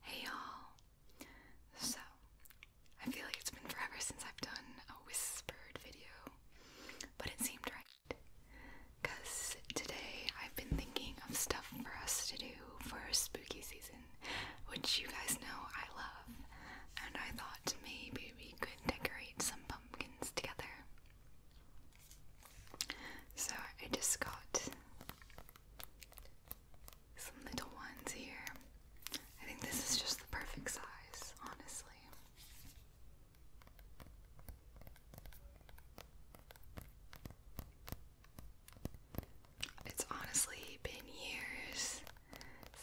Hey y'all! So, I feel like it's been forever since I've done a whispered video, but it seemed right. Because today I've been thinking of stuff for us to do for spooky season, which you guys know I love, and I thought maybe we could decorate some pumpkins together. So I just got some little ones here. I think this is just the perfect size, honestly. It's honestly been years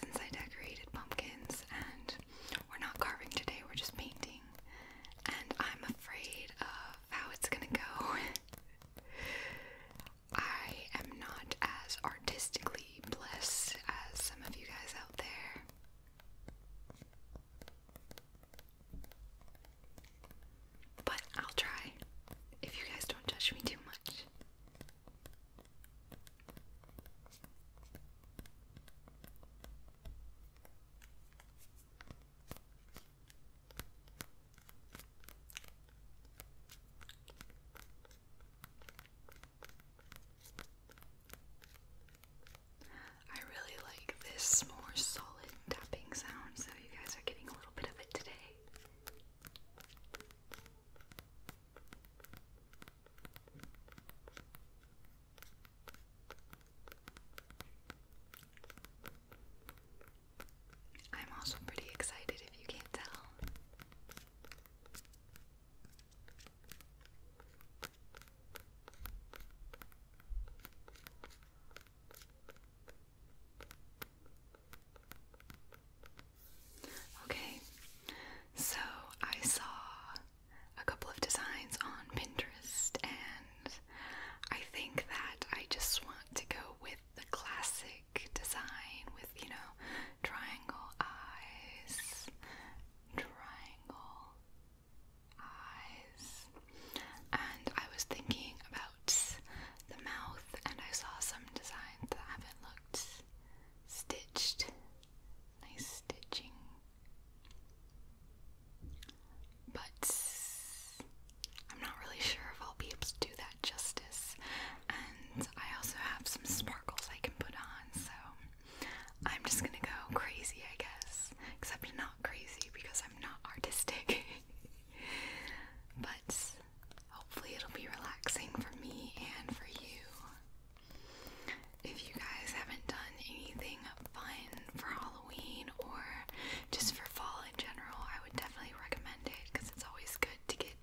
since I decorated pumpkins, and we're not carving today, we're just painting. And I'm afraid of how it's gonna go. I am not as artistically blessed as some of you guys out there. But I'll try if you guys don't judge me too much. I really like this more solid tapping sound, so you guys are getting a little bit of it today. I'm also pretty excited if you can't tell. Okay, so I saw a couple of designs on Pinterest and I think that I just want to go with the classic design with, you know, triangle eyes, triangle eyes. And I was thinking about the mouth, and I saw some designs that haven't looked stitched. Nice stitching. But I'm not really sure if I'll be able to do that justice. And I also have some sparkles I can put on, so I'm just gonna go crazy, I guess. Except not crazy because I'm not artistic. but hopefully, it'll be relaxing for me and for you. If you guys haven't done anything, something fun for Halloween or just for fall in general, I would definitely recommend it because it's always good to get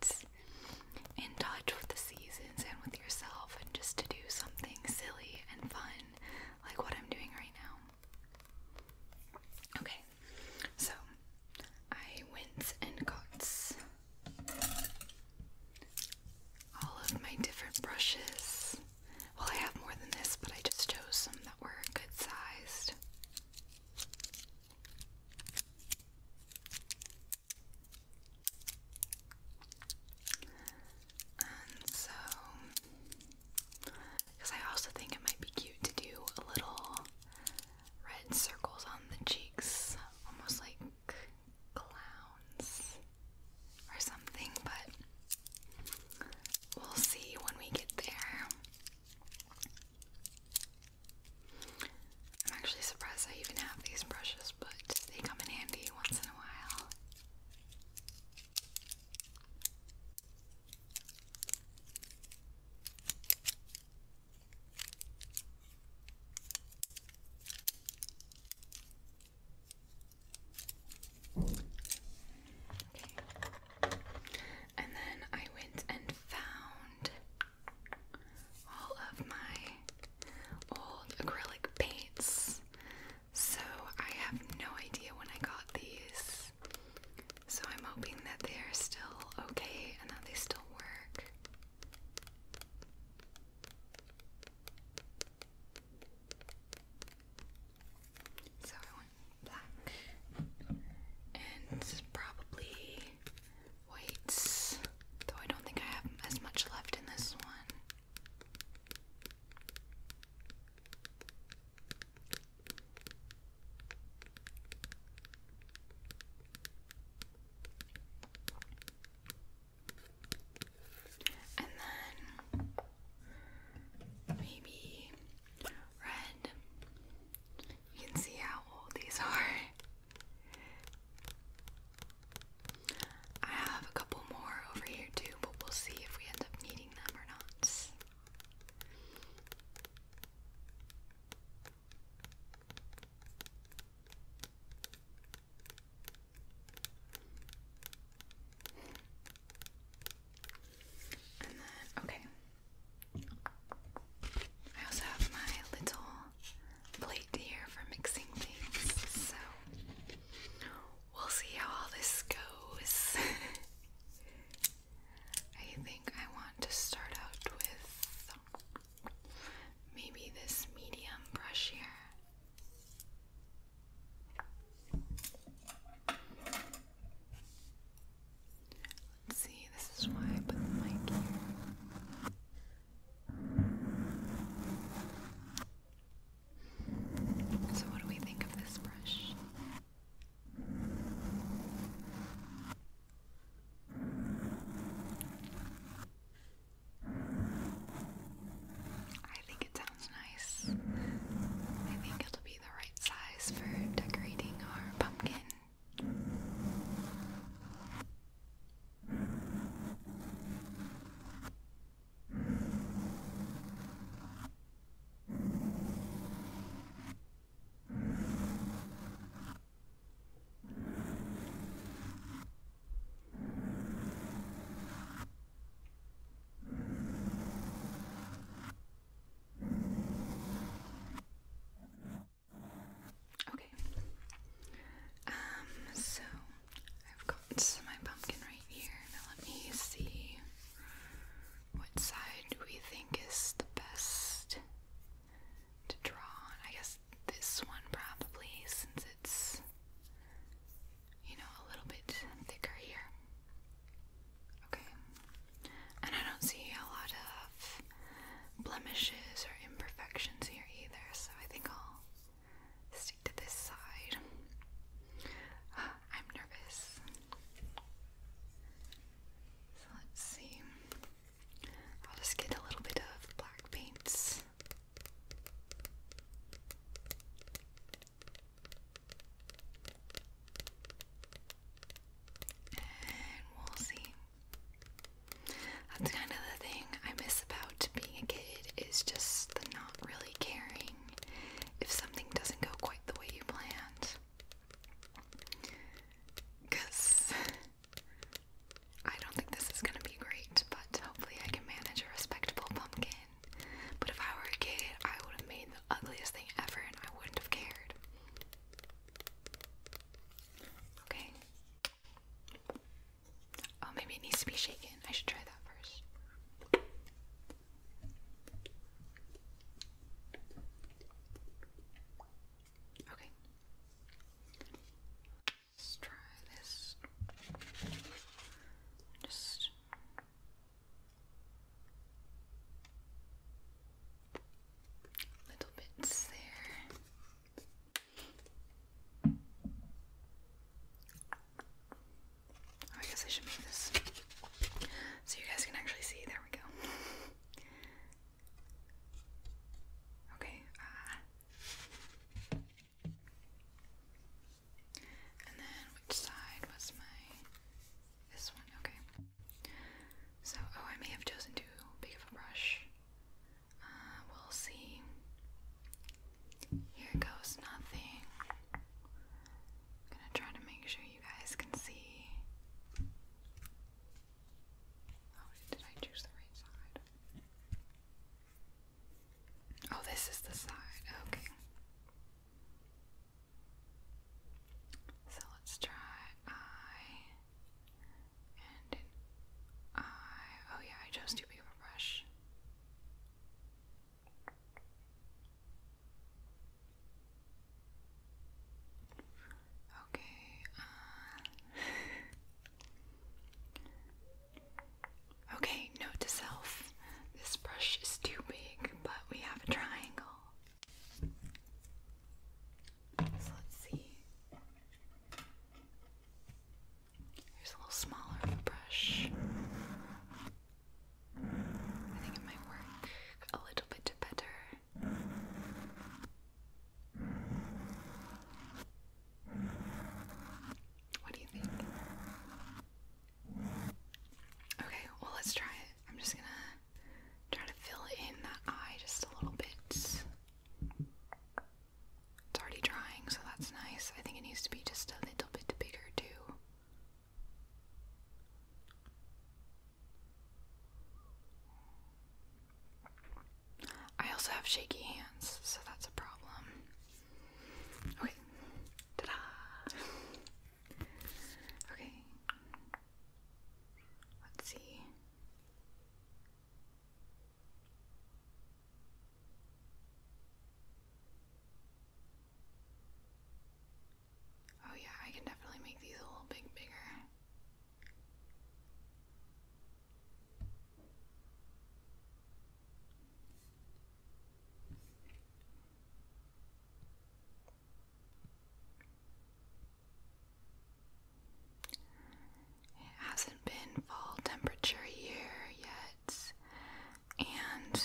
in touch with the seasons and with yourself and just to do something silly and fun like what I'm doing right now. Okay, so I went and got all of my different brushes well, I have more than this, but I just chose some that were good sized. And so, because I also think it might be cute to do little red circles on the cheeks, almost like clowns or something, but we'll see when we get there. I'm actually surprised I even have these brushes, but they come in handy once in a while. And then I went and found all of my old acrylic paints. So I have no idea when I got these. So I'm hoping that they are still okay and that they still work. So I want black and probably whites, though I don't think I have as much left in this one. And then maybe red. You can see how old these are. I have a couple more over here too, but we'll see if we end up needing them or not okay. I also have my little plate here for mixing things, so we'll see how all this goes. I think I want to start out with maybe this medium brush here. Let's see, this is why I put the mic here. So, what do we think of this brush? I think it sounds nice. I think it'll be the right size for decorating our pumpkin. Okay. Um, so I've got my pumpkin right here. let me see what side we think is the best to draw I guess this one probably, since it's you know, a little bit thicker here. Okay. And I don't see a lot of blemishes or imperfections here either, so I think I'll stick to this side. I'm nervous. So let's see. I'll just get a little bit of black paints and we'll see. That's kind of the thing I miss about being a kid is just not really caring if something doesn't go quite the way you planned. Because I don't think this is gonna be great, but hopefully I can manage a respectable pumpkin. But if I were a kid, I would have made the ugliest thing ever and I wouldn't have cared. Okay. Oh, maybe it needs to be shaken. I should try that first. Okay let try this. Just little bits there. Oh, I guess I should move this so you guys can actually see. There we go. Okay, uh, and then which side was my this one, okay. So oh I may have chosen too big of a brush. Uh, we'll see. Here goes nothing. gonna try to make sure you guys can see. Oh, did I choose the right side? Oh, this is the side. Okay. So let's try eye and an Oh, yeah, I chose too big brush. Okay, uh, Okay, note to self. This brush is too big, but we have a triangle. So let's see. Here's a little smaller of a brush. I think it might work a little bit better. What do you think? Okay, well, let's try it. I'm just gonna try to fill in that eye just a little bit. It's already drying, so that's nice. I think it needs to be just a little bit bigger, too. I also have shaky hands, so that's a problem. Okay. Ta da! Okay. Let's see. Oh, yeah, I can definitely make these a little bit bigger. It hasn't been fall temperature here yet, and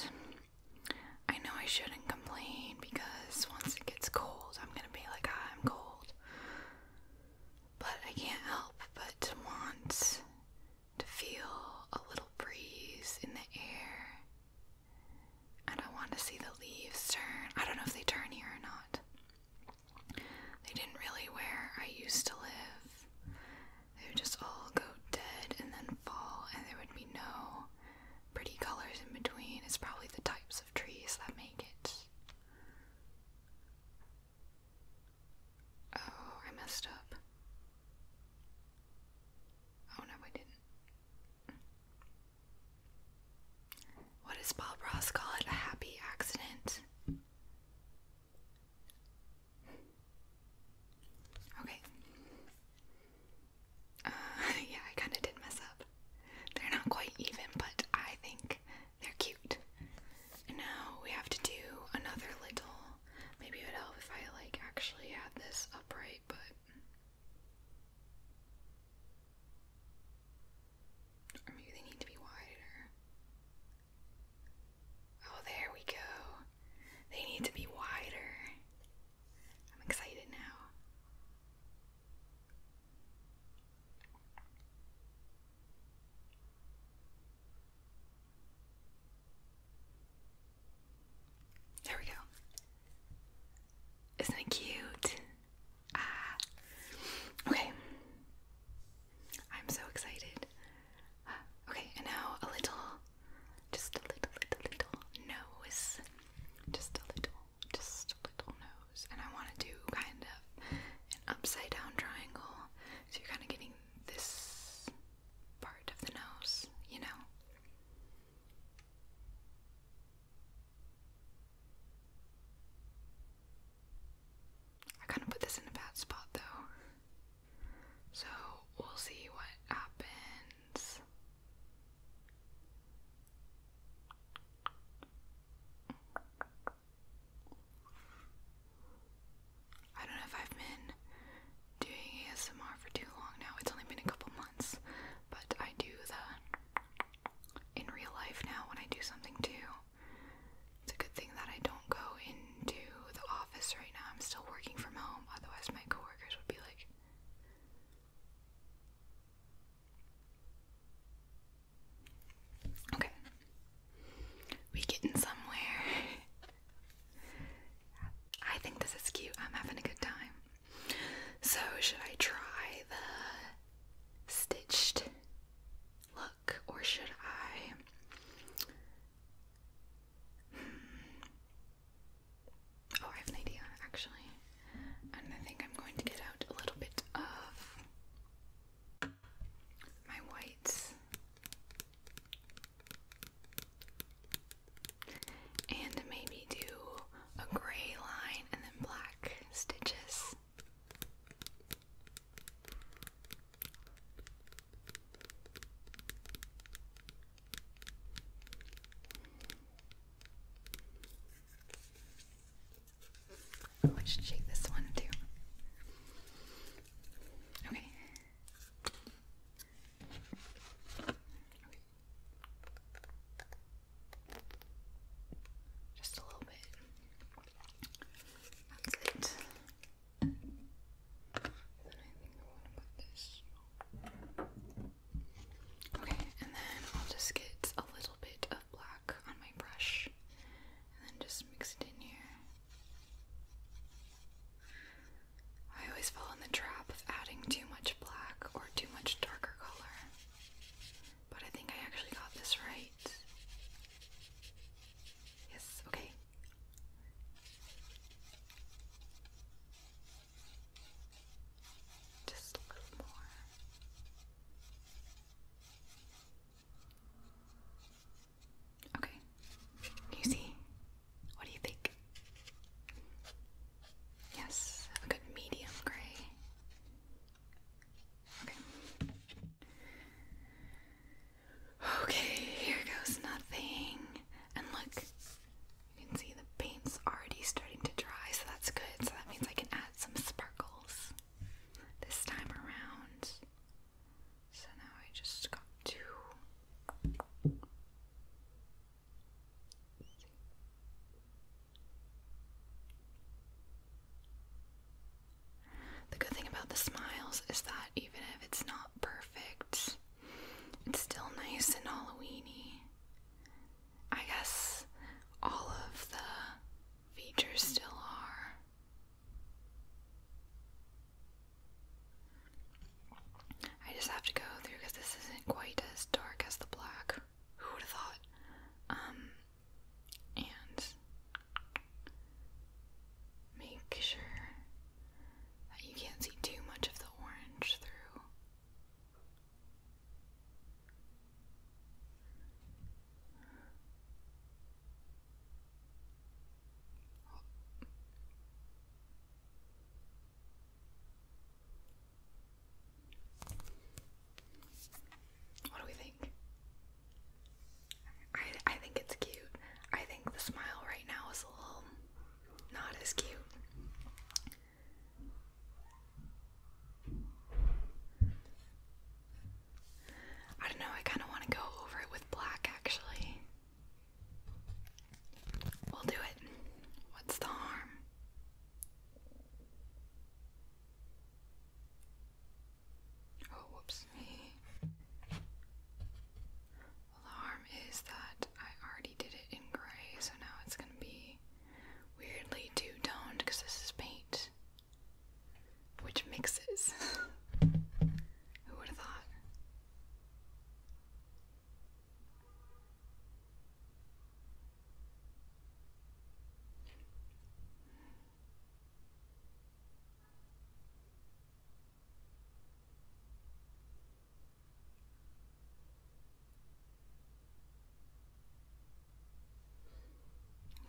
I know I shouldn't complain because once it gets cold, I'm gonna be like, ah, I'm cold. But I can't help but to want to feel a little breeze in the air. And I want to see the leaves turn. I don't know if they turn here or not. They didn't really where I used to live. They would just all go dead and then fall, and there would be no pretty colors in between. It's probably the types of trees that make it. Oh, I messed up. Oh no, I didn't. What does Bob Ross call it? A happy accident? Okay. Uh, yeah, I kind of did mess up. They're not quite even, but I think they're cute. now we have to do another little. Maybe it would help if I like actually had this upright, but or maybe they need to be wider. Oh, there we go. They need to be wider. I'm excited now. There we go. Isn't it cute? Ah. Okay. I'm so excited. okay, and now a little, just a little, little, little nose. Just a little, just nose. And I want to do kind of an upside down triangle. So you're kind of getting this part of the nose, you know? I kind of put this in a bad spot though. So we'll see what happens. I don't know if I've been doing ASMR for too long now. It's only been a couple months, but I do the in real life now when I do something too. It's a good thing that I don't go into the office right now. I'm still working from home, otherwise my coworkers would be like Okay. We getting somewhere. I think this is cute. I'm having a good time. So should I try the stitched look or should I hmm. Oh, I have an idea actually. And I think I'm going to get out a little bit of my whites. And maybe do a gray line and then black stitches. Oh, I should shake this one too. Okay. Just a little bit. That's it. Okay, and then I'll just get a little bit of black on my brush and then just mix it in here. I always fall in the trap of adding too much black or too much darker color, but I think I actually got this right. Yes, okay. Just a little more. Okay. you see? What do you think? Yes, a good medium gray. Okay. Okay, here goes nothing. And look, you can see the paint's already starting to dry, so that's good. So that means I can add some sparkles this time around. So now I just got two. The good thing about the smiles is that even if it's not perfect, it's still nice and Halloweeny. I guess all of the features still are. I just have to go through because this isn't quite as dark as the black. Who would have thought? Um, and make sure that you can't see too much of the orange through what do we think? I I think it's cute. I think the smile right now is a little not as cute. I don't know, I kind of want to go over it with black actually. We'll do it. What's the harm? Oh, whoops. well, the harm is that I already did it in gray, so now it's going to be weirdly two toned because this is paint, which mixes. Who would have thought?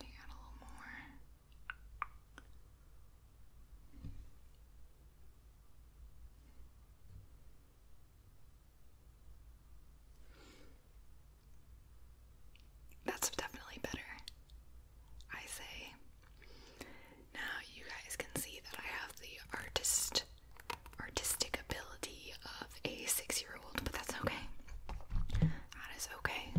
You got a little more. That's definitely better. I say. Now you guys can see that I have the artist artistic ability of a six year old, but that's okay. That is okay.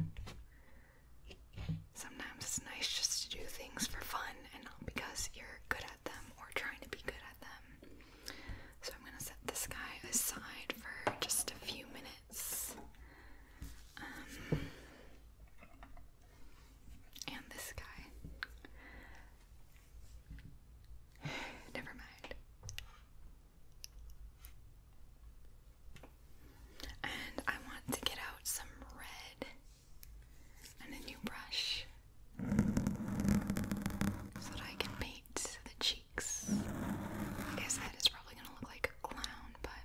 Sometimes it's nice just to do things for fun and not because you're good at them or trying to be good at them. So I'm going to set this guy aside for just a few minutes. Um, and this guy. Never mind. And I want to get out some red and a new brush so that I can paint the cheeks. I guess that is probably gonna look like a clown, but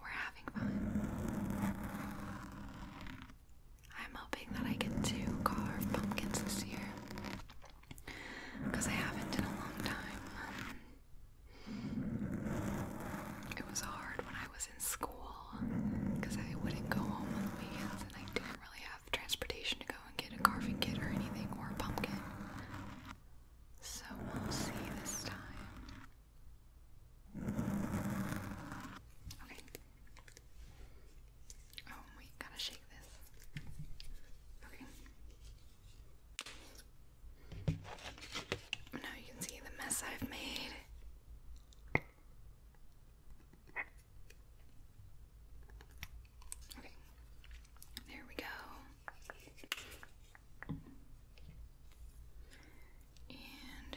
we're having fun. I'm hoping that I get to carve pumpkins this year because I haven't in a long time. Um, it was hard when I was in school because I wouldn't go home on the weekends and I didn't really have transportation to go and get a carving kit or anything or a pumpkin. So we'll see this time. Okay. Oh, we gotta shake this. Okay. Now you can see the mess I've made. Okay. There we go. And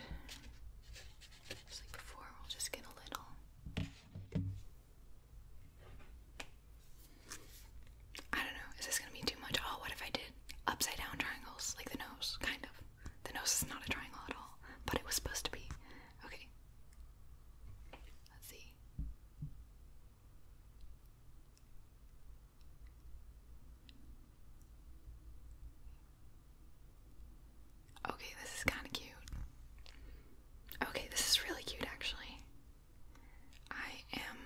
before, we'll just get a little. I don't know, is this gonna be too much? Oh, what if I did upside down triangles? Like the nose, kind of. The nose is not a triangle at all, but it was supposed to be. Okay. Let's see. Okay, this is kind of cute. Okay, this is really cute actually. I am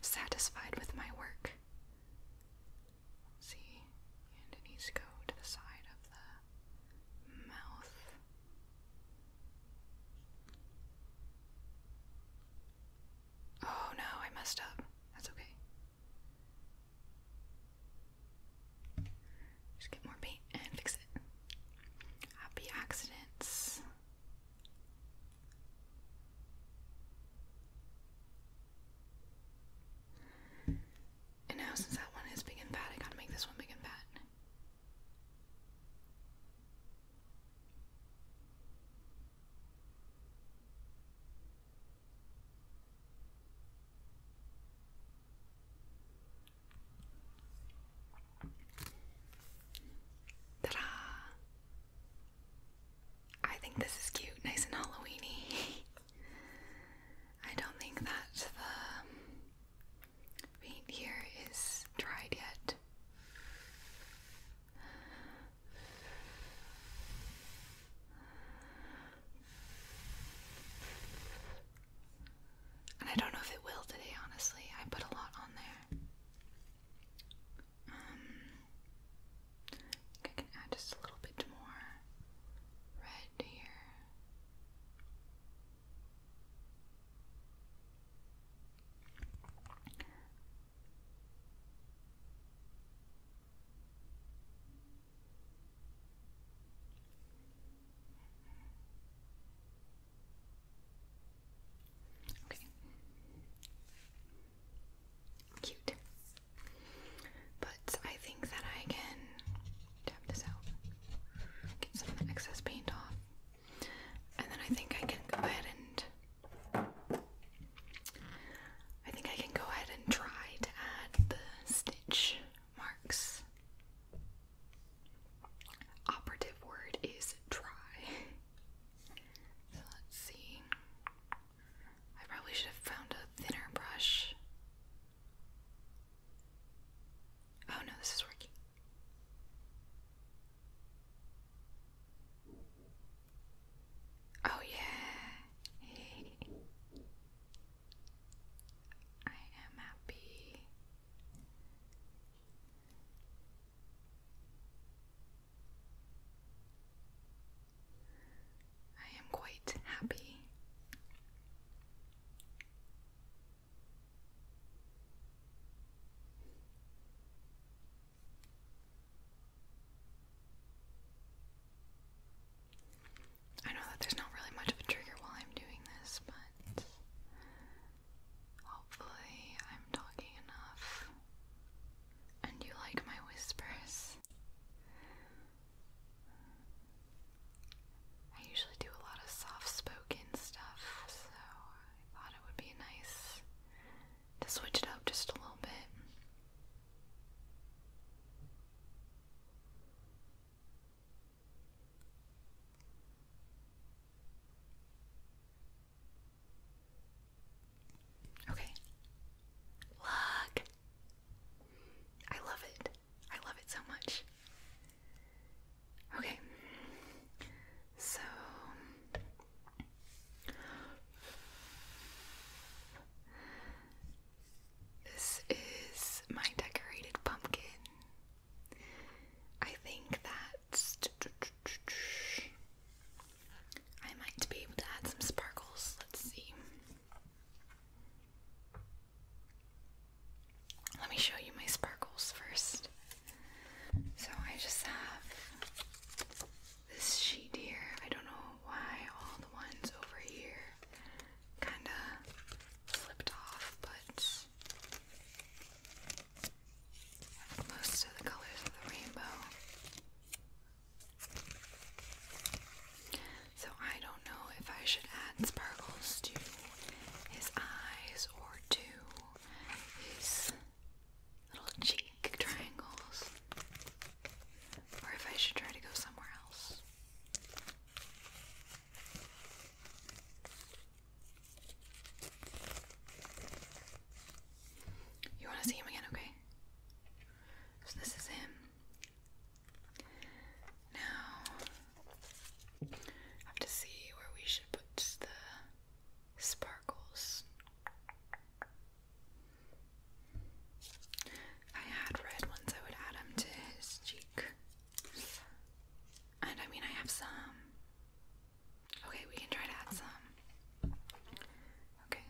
satisfied with my work. see, and it go to the side of the mouth. Oh no, I messed up. That's okay. Just get more paint and fix it. Happy accidents. And now, since that one is big and fat, I gotta make this one big and fat. Ta-da! I think this is cute, nice and Halloweeny. I don't think that the paint here is dried yet. And I don't know if it will today, honestly. I put a lot on there. Um, I can add just a little bit more red here. Okay. Cute. But I think that I can tap this out. Get some of the excess paint off. And then I think I can go ahead and I think I can go ahead and try to add the stitch marks. Operative word is try. So let's see. I probably should have found a thinner brush. Oh no, this is working. Oh, yeah. I am happy. I am quite happy. I know that there's not really much of a trigger while I'm doing this, but hopefully I'm talking enough and you like my whispers. I usually do a lot of soft spoken stuff, so I thought it would be nice to switch it up just a little bit. Okay. Look. I love it. I love it so much. Okay. So this is my decorated pumpkin. I think that I might be able to add some sparkles. Let's see. Let me show you my sparkles first. So I just have this sheet here. I don't know why all the ones over here kind of flipped off, but most of the colors of the rainbow. So I don't know if I should add sparkles to his eyes or to his little cheek triangles, or if I should try to go somewhere else. You want to see him again, okay? So this is him. Now, have to see where we should put the sparkles. I had red ones, I would add them to his cheek. And I mean, I have some. Okay, we can try to add some. Okay.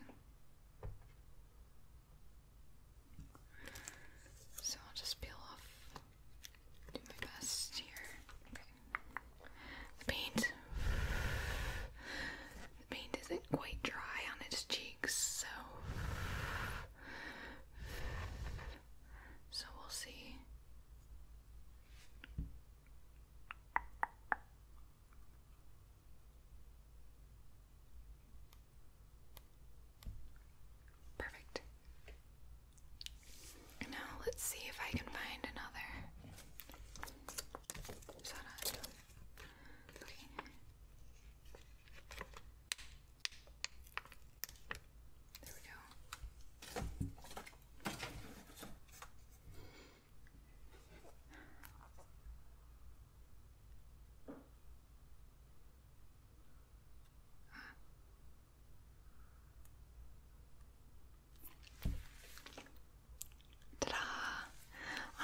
So I'll just peel off, do my best here. Okay. The paint. The paint isn't quite dry on its cheeks, so so we'll see. Perfect. Now let's see if I can find another saranno green there we go Ta-da!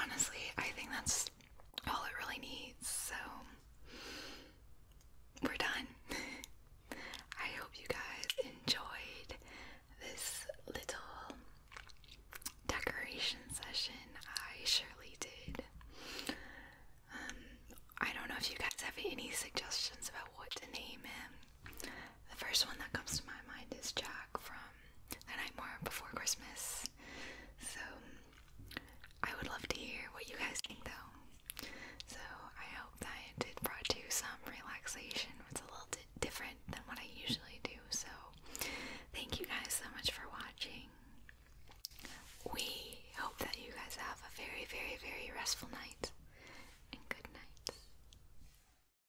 Honestly, I think that's all it really needs, so we're done. I hope you guys enjoyed this little decoration session. I surely did. Um, I don't know if you guys have any suggestions about what to name him. The first one that comes to my mind is Jack from The Night Before Christmas. So I would love to hear what you guys think though. So I hope that it brought you some relaxation. It's a little bit different than what I usually do. So thank you guys so much for watching. We hope that you guys have a very, very, very restful night and good night.